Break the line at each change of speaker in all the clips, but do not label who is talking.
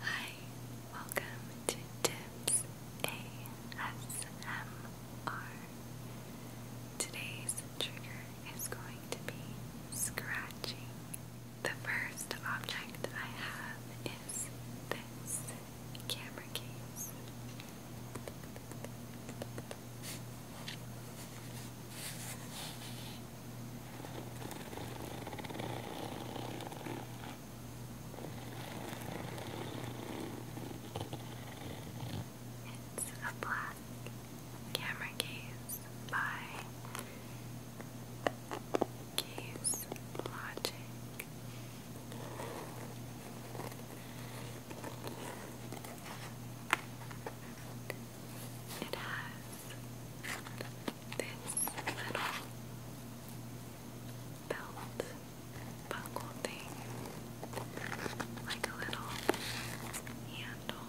Hi, welcome to Tips ASMR. Today's trigger is going to be scratching. The first object I have is this camera case. It's a black camera case by Case Logic. It has this little belt buckle thing, like a little handle.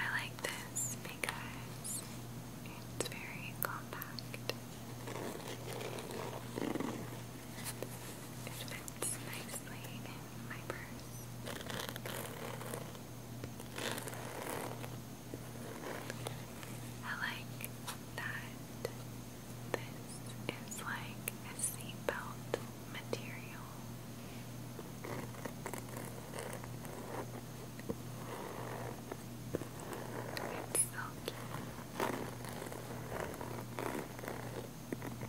I like this because it's very compact and it fits nicely in my purse. I like that this is like a seatbelt material. It's so cute.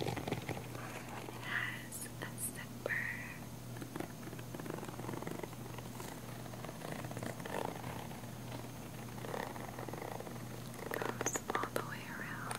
It has a zipper. Goes all the way around.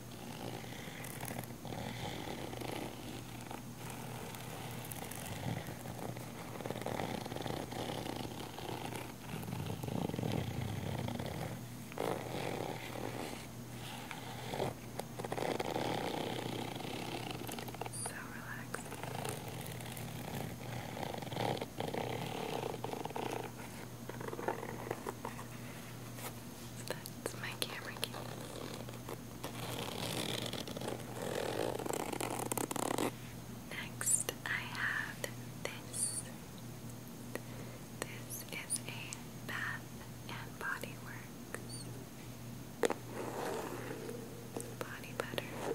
So relaxing. Now that's my camera Next, I have this. This is a Bath and Body Works body butter.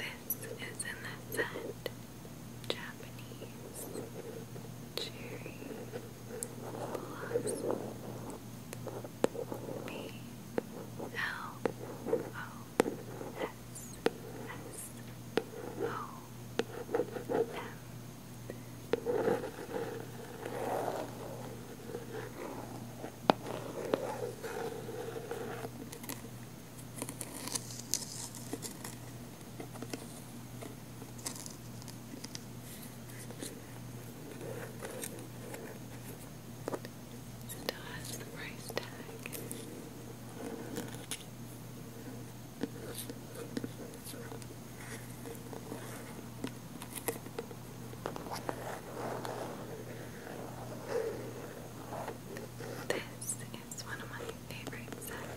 This is in the scent Japanese cherry blossom. B L O S S O M. Still has the price tag. This is one of my favorite scents.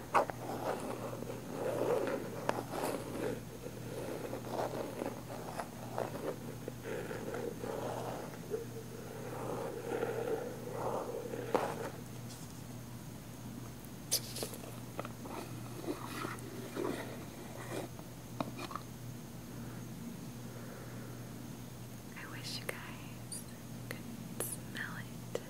I wish you guys could smell it.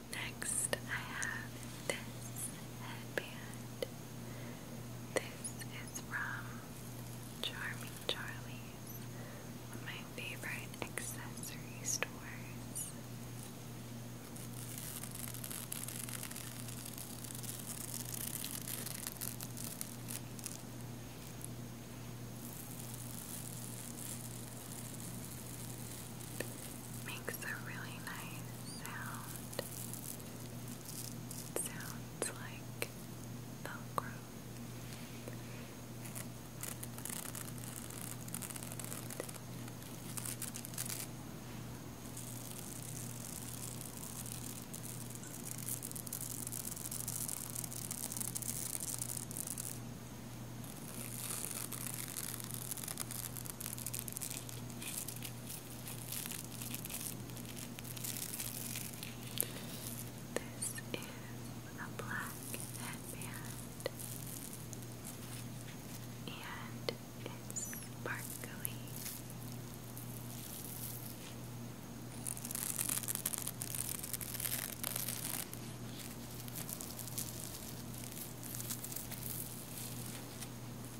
Next, I have this headband. This is from Charming Charlie's, one of my favorite accessory stores makes a really nice sound. sounds like Velcro. It this is a black headband and it's sparkly.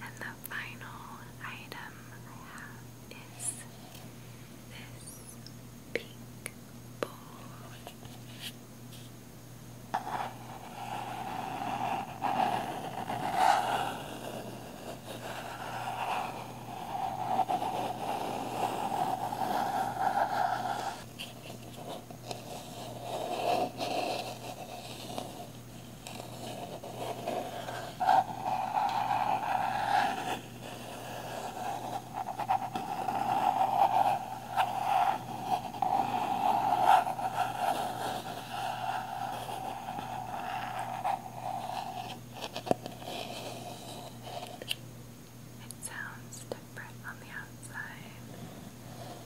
And the final item I have is this pink bowl. It sounds different on the outside.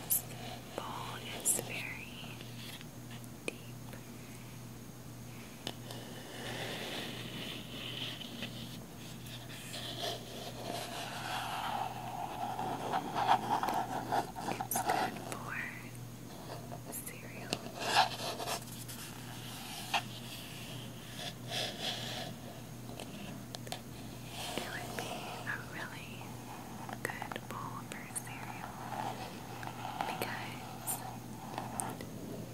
This bowl is very deep. It's good for cereal. It would be a really good bowl because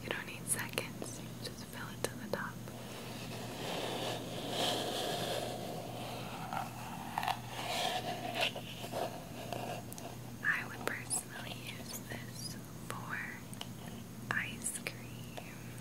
you don't need seconds, just fill it to the top. I would personally use this for ice cream.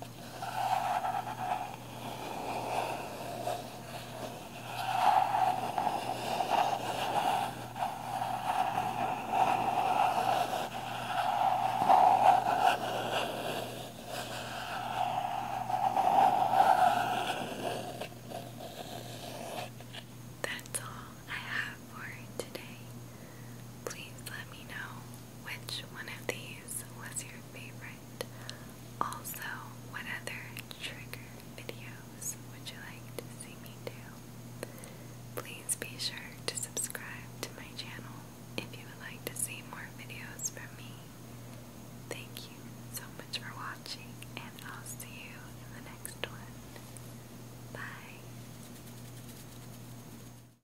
That's all I have for today. Please let me know which one of these was your favorite. Also, what other trigger videos would you like to see me do? Please be sure to subscribe to my channel if you would like to see more videos from me. Thank you so much for watching, and I'll see you in the next one. Bye.